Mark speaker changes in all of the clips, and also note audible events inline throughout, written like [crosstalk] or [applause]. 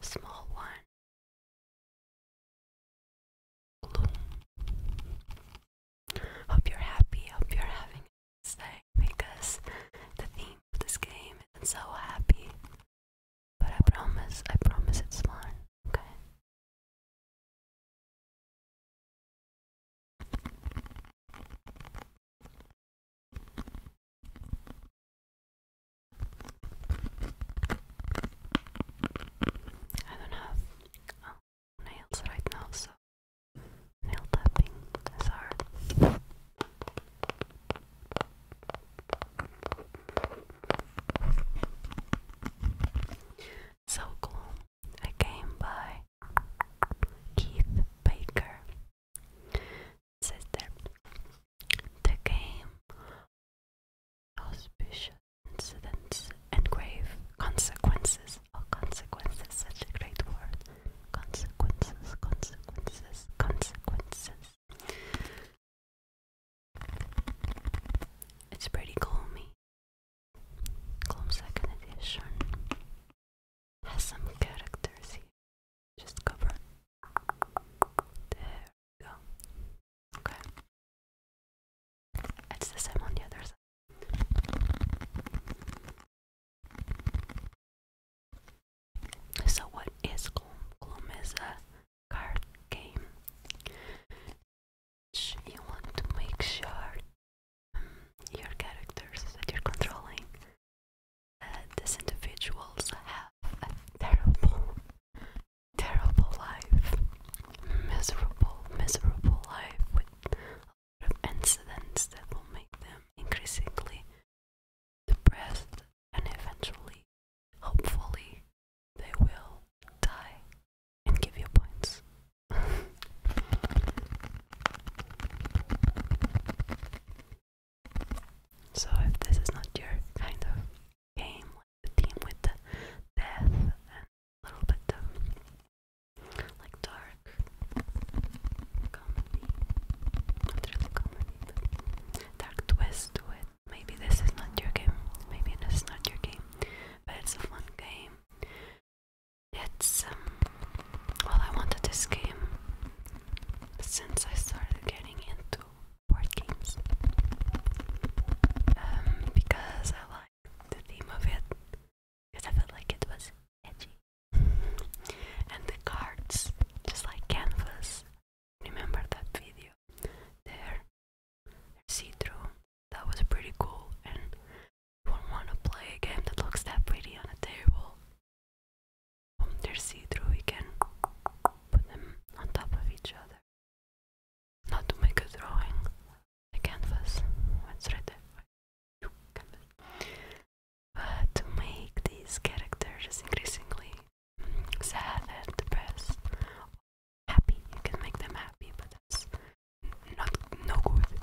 Speaker 1: small one Hope you're happy. Hope you're having a nice day because the theme of this game is so happy. But I promise, I promise it's fun. Okay. I don't have oh, nails right now, so nail tapping
Speaker 2: is So cool. A game by Keith Baker sister. The game, auspicious incidents, and grave consequences. Oh, consequences, such a great word. Consequences, consequences, consequences.
Speaker 1: It's pretty calmy. Calm second edition. Has some characters here. Just cover it's the same on the other side.
Speaker 2: So, what is Gloom? Gloom is a card game. You want to make sure um, your characters that you're controlling, uh, these individuals have a terrible terrible life, miserable, miserable life with a lot of incidents that will make them increasingly depressed and eventually, hopefully, they will die and give you points. [laughs] so, if this is not your kind of game, like the theme with the death and a little bit of like dark comedy. dark twist to Maybe this is not your game. Maybe this is not your game, but it's a fun game. It's um, well, I wanted this game since I started getting into board games um, because I like the theme of it because I felt like it was edgy [laughs] and the cards just like canvas remember that video there see-through that was pretty cool and you want to play a game that looks that pretty on a table they're see-through you can put them on top of each other together. to make a drawing, a canvas, it's ready. But to make these characters increasingly sad and depressed, happy, you can make them happy, but not no good.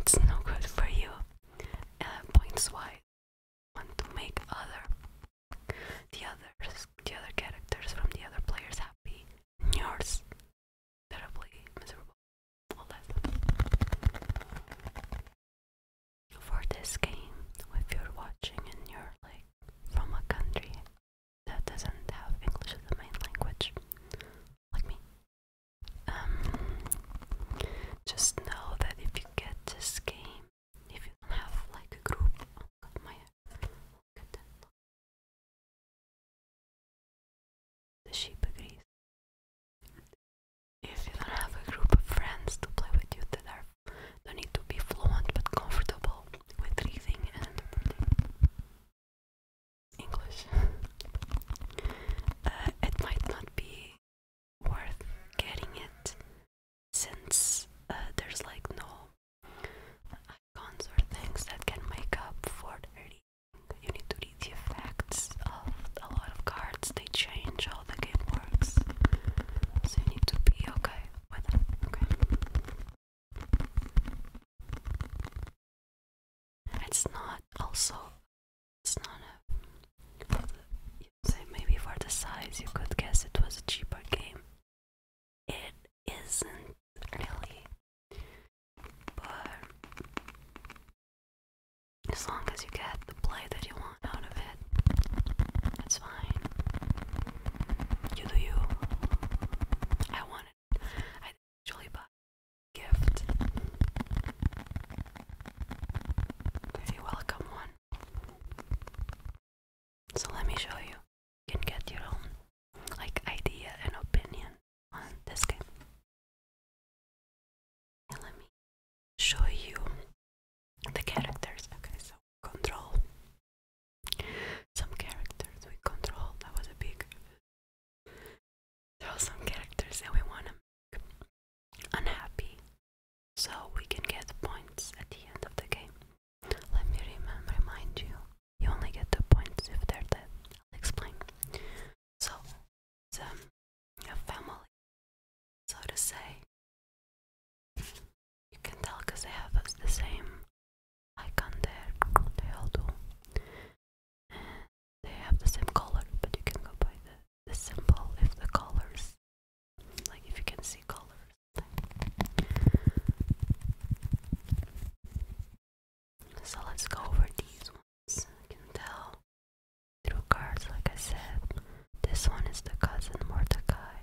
Speaker 2: It's no good for you. Uh, points wise, want to make other the others, the other characters from the other players happy, and yours terribly miserable. For this game, if you're watching and
Speaker 1: you're like from a country that doesn't have English as the main language, like me, um, just know that if you get this game, if you have like a group. Oh my The sheep If you don't have a group of friends to play with you that are don't need to be fluent but comfortable with reading and interpreting English, [laughs] uh, it might not be worth getting it
Speaker 2: since uh, there's like no icons or things that can make up for the You need to read the effects of a lot of cards, they change how the game works. So you need to be okay with that. Okay.
Speaker 1: It's not also it's not a you say maybe for the size you could guess it was a cheaper game it isn't really, but
Speaker 2: as long as you get the play that you want out of it, that's fine. You do you. I wanted. I actually bought a gift.
Speaker 1: Very welcome one. So let me show you. You can get your own like idea and opinion on this game. let me show you the characters. Okay, so
Speaker 2: control some characters we control. That was a big there are some characters that we want to make unhappy so we can get points at the end of the game. Let me remind you, you only get the points if they're dead. explain. So, it's um, family, so to say. You can tell because they have the same icon there. They all do. they have the same color, but you can go by the symbol if the colors, like if you can see colors. So let's go over these ones. I can tell through cards, like I said. This one is the cousin Mordecai,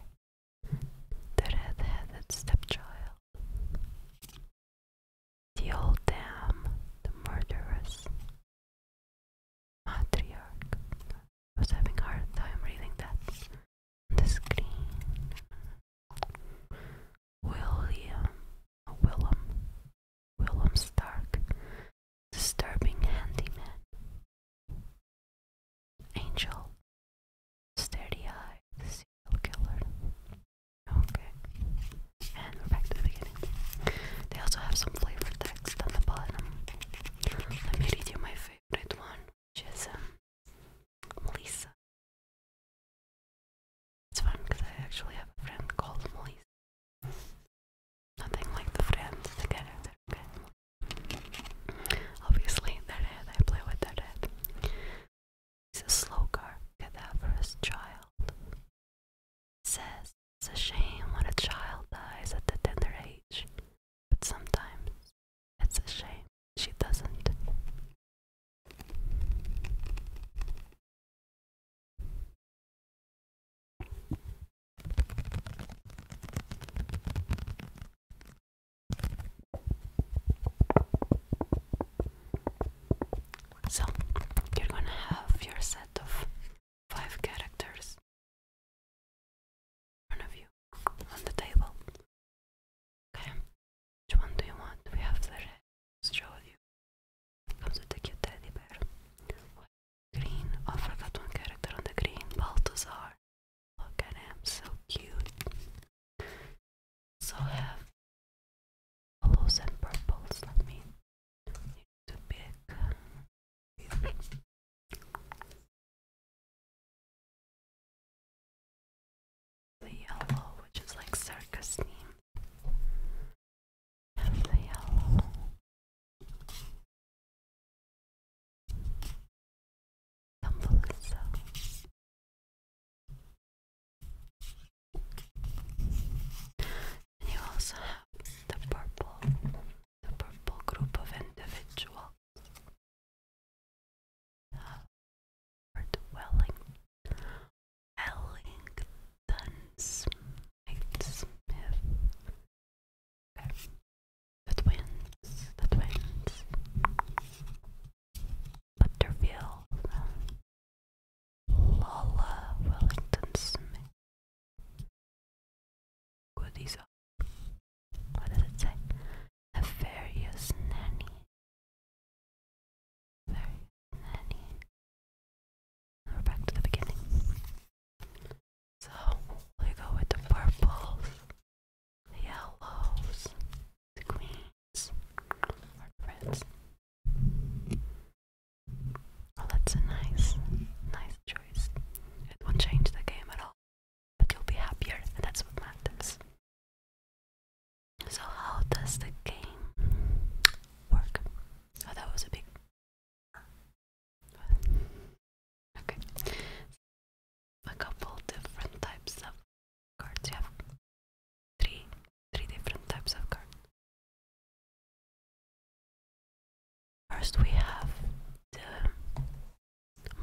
Speaker 2: the red
Speaker 1: stepchild, the old dam, the murderous matriarch. I was having hard time reading that the screen. William, William.
Speaker 2: William Stark, disturbing handyman. Angel, steady eye, the serial killer. Okay, and we're back to the beginning. They also have some flavor text on the bottom. Let me read you
Speaker 1: my favorite one, is Melissa. It's fun because I actually have a friend called Melissa. Nothing like the friends, the
Speaker 2: Okay. Obviously, their head, I play with their head. He's a slow car, cadaverous child. Says it's a shame when a child dies at the tender age
Speaker 1: but sometimes it's a shame she doesn't. So, you're gonna have your set of five characters front of you on the table. Okay, which one do you want? We have the red straw you. Comes with a teddy bear. Green. Oh, I forgot one character on the green. Balthazar. Look at him, so cute. So I have yellows and purples. Let me need to pick the yellow, which is like circus theme. And the yellow. Thumbelisa. And you also have the purple, the purple group of individual Welling, Wellington Smith, Smith. Okay. The twins, Butterfield, Lola Wellington Smith. Goodies up. What does it say? Nefarious nanny. nanny. we're back to the beginning. So we go with the purples, the yellows, the greens, or reds. Well, oh, that's a nice, nice choice. It won't change the game at all but you'll be happier, and that's what matters. So, how does the game work? Oh, that was a big. Okay. A couple different types of cards. You three, three different types of cards. First, we have the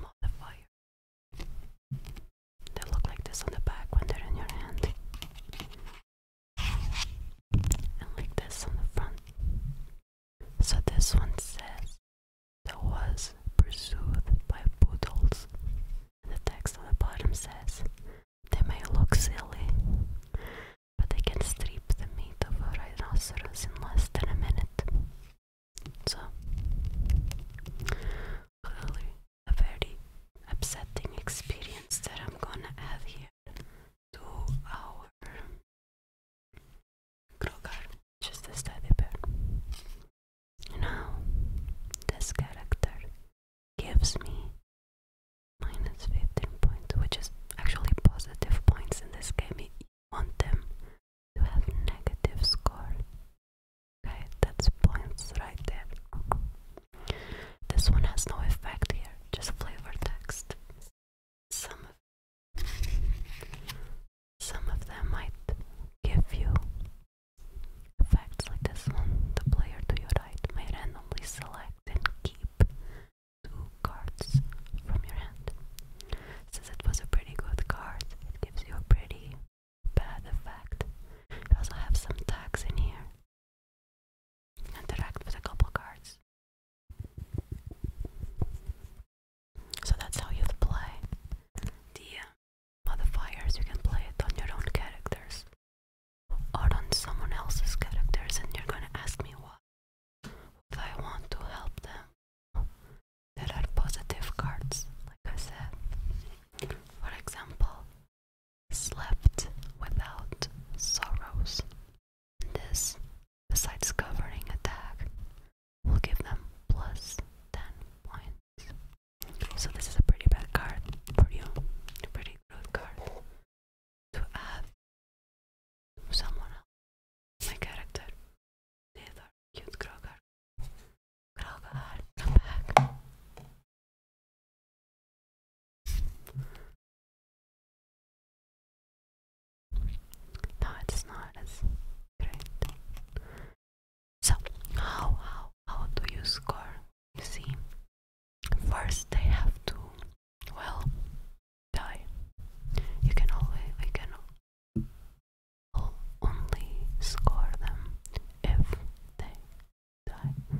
Speaker 1: modifier. They
Speaker 2: look like this on the back when they're in your hand, and like this on the front. So this one says, "That was pursued by poodles." And the text on the bottom says, "They may look silly, but they can strip the meat of a rhinoceros in less than a minute." So, really, a very upsetting experience that I'm gonna add here to our Krogar, just a study bear. Now, this character gives me minus 15 points, which is actually positive points in this game. You want them to have negative score Okay, that's points right there. This one has no effect here, just flavor text. Some of, some of them might give you effects like this one. The player to your right may randomly select and keep two cards from your hand. Since it was a pretty good card, it gives you a pretty bad effect. You also have some tags in here. Interact with a couple cards. So that's how you play the uh, modifiers. You can play it on your own characters or on someone else's characters, and you're gonna ask me why. If I want to help them, there are positive cards, like I said. For example, slept without sorrows. This, besides covering attack, will give them plus 10 points. So, this is a pretty
Speaker 1: bad card for you. A pretty good card to add someone else. character, use Kroger. No, it's not as great. So, how how how do you score? You see, first they have to well die. You can we can will only score
Speaker 2: them if they die.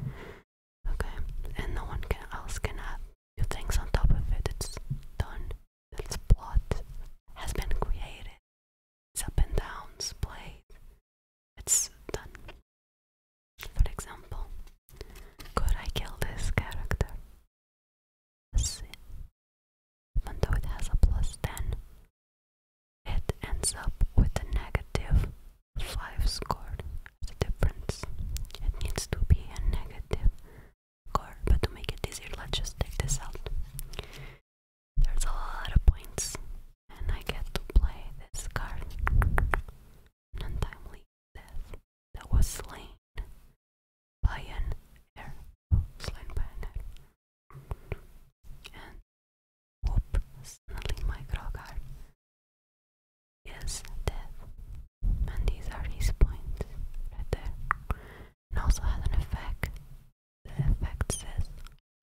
Speaker 2: Okay, and no one can else can add things on top of it. It's done. Its plot has been created. It's up and downs played. It's done. For example, could I kill this character?
Speaker 1: Even though it has a plus 10, it ends up with a negative 5 score
Speaker 2: as difference. It needs to be a negative score, but to make it easier, let's just take this out. There's a lot of points, and I get to play this card. untimely death that was slain
Speaker 1: by an arrow. Slain by an arrow. And whoop, suddenly my Grogar is dead. And these are his points right there. And also has an
Speaker 2: effect. The effect says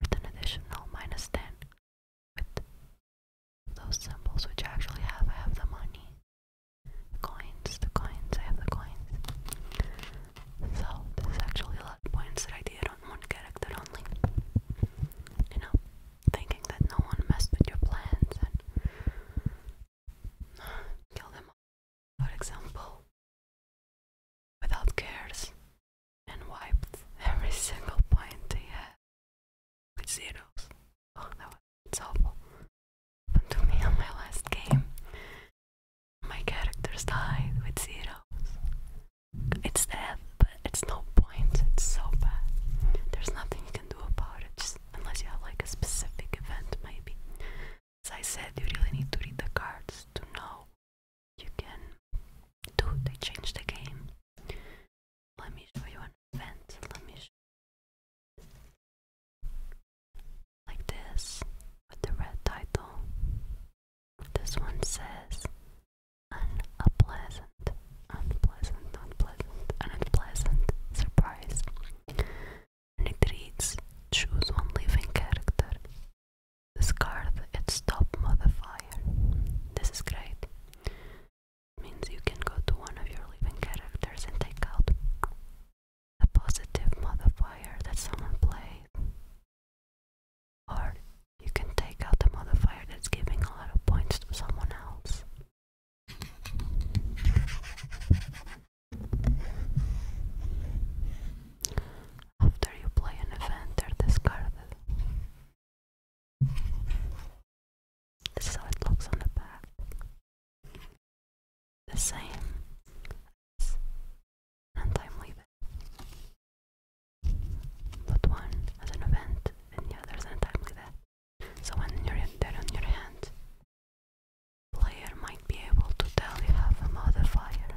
Speaker 2: with an additional minus 10 with those symbols which I actually have. I have the money, the coins, the coins, I have the coins. So this is actually a lot of points that I did one character only. You know, thinking that no one messed with your plans and [sighs] kill them for example, without cares, and wiped every [laughs] single point they had with zeros. Oh, that was it's Happened to me on my last game. My characters died with zeros. It's there, but it's no point. It's so bad. There's nothing you can do about it, just unless you have like a specific event, maybe. As I said, you really need to read the cards to know you can do. They change the game.
Speaker 1: Let me show you an event. Let me show like this with the red title. This one says
Speaker 2: unpleasant, unpleasant, unpleasant, unpleasant surprise. And it reads choose one living character. Discard its top modifier. This is great. means you can go to one of your living characters and take out a positive modifier that someone played or you can take out the modifier that's giving a lot of points to someone else. After you play an event, they're discarded. This is how it looks on the back. The same as and I'm But one as an event and the other as a time So when you're there on your hand, player might be able to tell you have a modifier.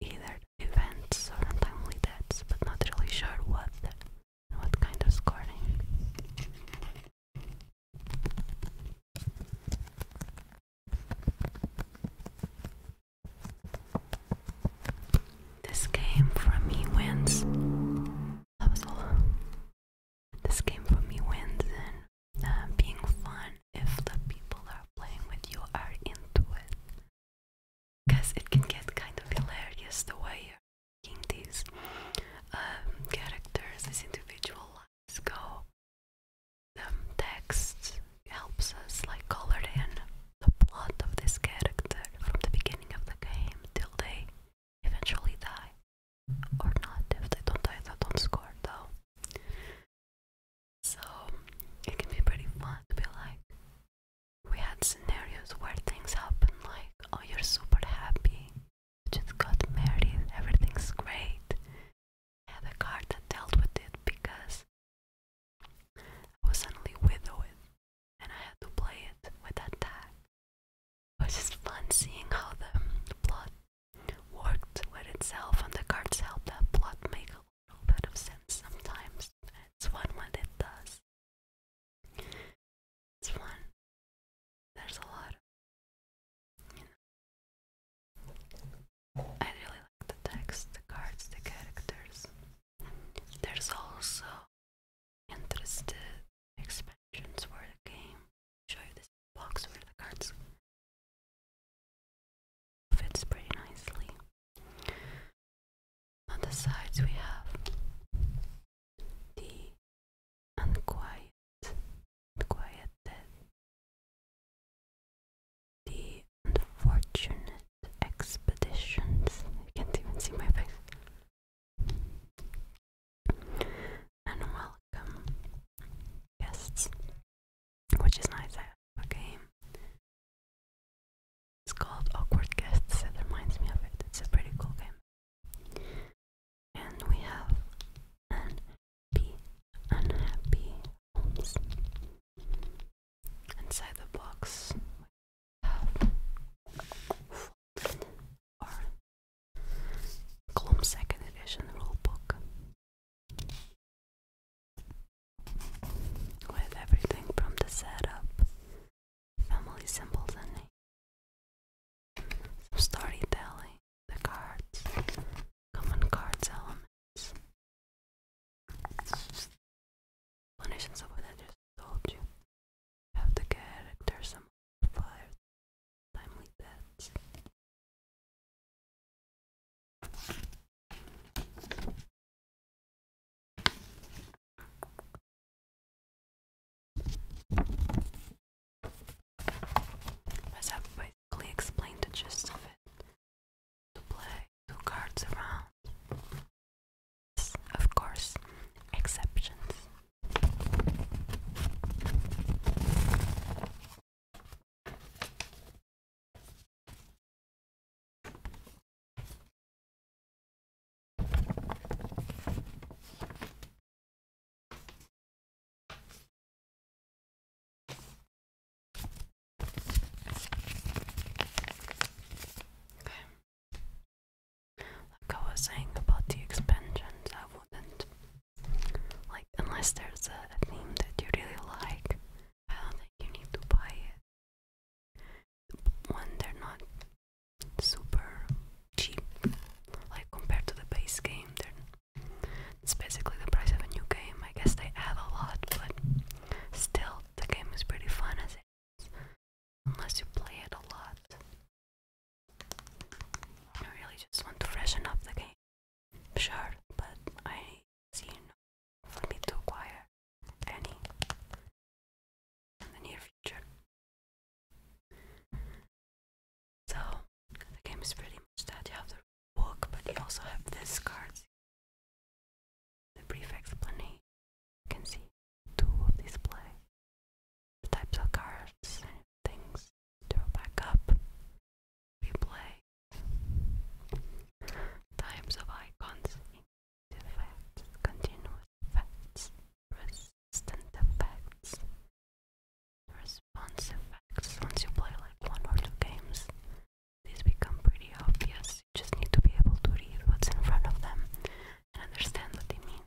Speaker 2: Either events or untimely deaths, but not really sure what what kind of scoring. This game from me wins. That This game for me wins and uh, being fun if the
Speaker 1: people are playing with you are into it. Because it can get kind
Speaker 2: of hilarious the way you're these um, characters, these individual go um, text helps us like colored in the plot of this character from the beginning of the game till they eventually die. Or not, if they don't die, they don't score though. So it can be pretty fun to be like, we had scenarios where things happen like, oh, you're super happy, just got married, everything's great. had a card that dealt with it because
Speaker 1: I was suddenly
Speaker 2: widowed, and I had to play it with that It was just fun seeing how the plot worked with itself,
Speaker 1: and the cards helped that plot make a little bit of sense sometimes. It's fun when it does. It's fun. There's a lot of, I really like the text, the cards, the characters. There's also interesting expansions for the game. Show you this box where the cards fits pretty nicely. On the sides we have the unquiet, quiet dead the unfortunate expeditions. I can't even see my face. And welcome guests, which is nice. I have a game. It's called Awkward Guests. It reminds me of it. It's a pretty cool game. And we have an be unhappy homes. Inside the box, we have our Second Edition rulebook with everything from the setup, family symbols, and names, some storytelling, the cards, common cards element explanations of what I just told you. have the character, some fire, timely deaths. As i basically explained the gist of it, to play two cards
Speaker 2: around. Of course, exceptions. Like I was saying about the expansions, I wouldn't. Like, unless there's a, theme that you really like, I don't think you need to buy
Speaker 1: it. When they're not super cheap,
Speaker 2: like compared to the base game, they're, it's basically the price of a new game. I guess they add a lot, but still, the game is pretty fun as it is, unless you play it a lot. I really just want to freshen up the game.
Speaker 1: Sure, but I see no for to acquire any in the near future. So the game is pretty much that you have the book, but you also have these cards the brief explanation you can see two of display the types of cards things throw back up, replay,
Speaker 2: types of icons, effects, continuous effects, resistant effects, response effects. Once you play like
Speaker 1: one or two games, these become pretty obvious. You just need to be able to read what's
Speaker 2: in front of them and understand what they mean.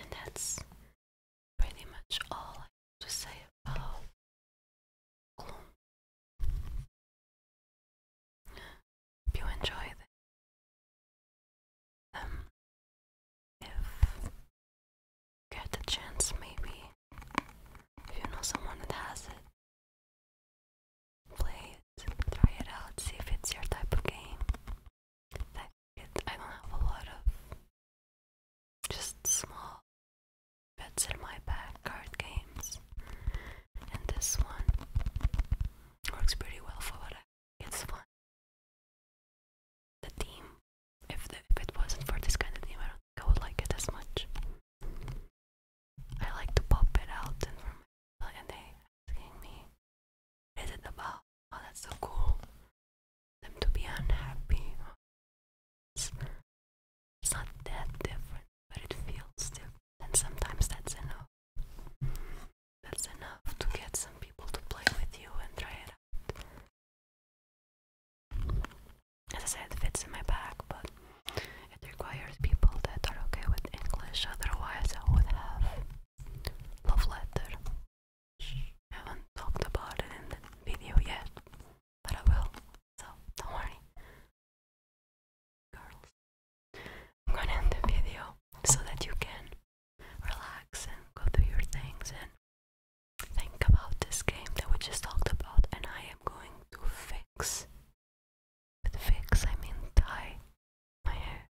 Speaker 1: And that's pretty much all I have to say about gloom. you enjoyed it, um, if you get a chance, maybe if you know someone that has it, play try it out, see if it's your type of game. I don't have a lot of just small bets in my back card games, and this one works pretty well for what I. It's fun. The theme. If, if it wasn't for this kind of theme, I don't think I would like it as much. I like to pop it out and they asking me, What is it about? Oh that's so cool. Them to be unhappy. it's not that different, but it feels different. And sometimes that's enough. That's enough to get some people to play with you and try it out.
Speaker 2: As I said, it fits in my bag, but it requires people that are okay with English, otherwise, I would have love letter. I haven't talked about it in the video yet, but I will, so don't worry. Girls, I'm gonna end the video so that you can relax and go through your things and
Speaker 1: think about this game that we just talked about. And I am going to fix. With fix, I mean dye my hair.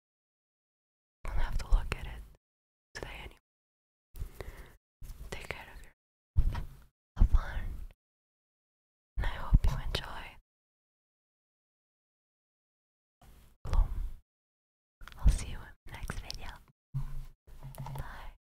Speaker 1: Won't have to look at it today anyway. Take care of yourself. Have fun. And I hope you enjoy. Bloom. I'll see you in the next video. Bye.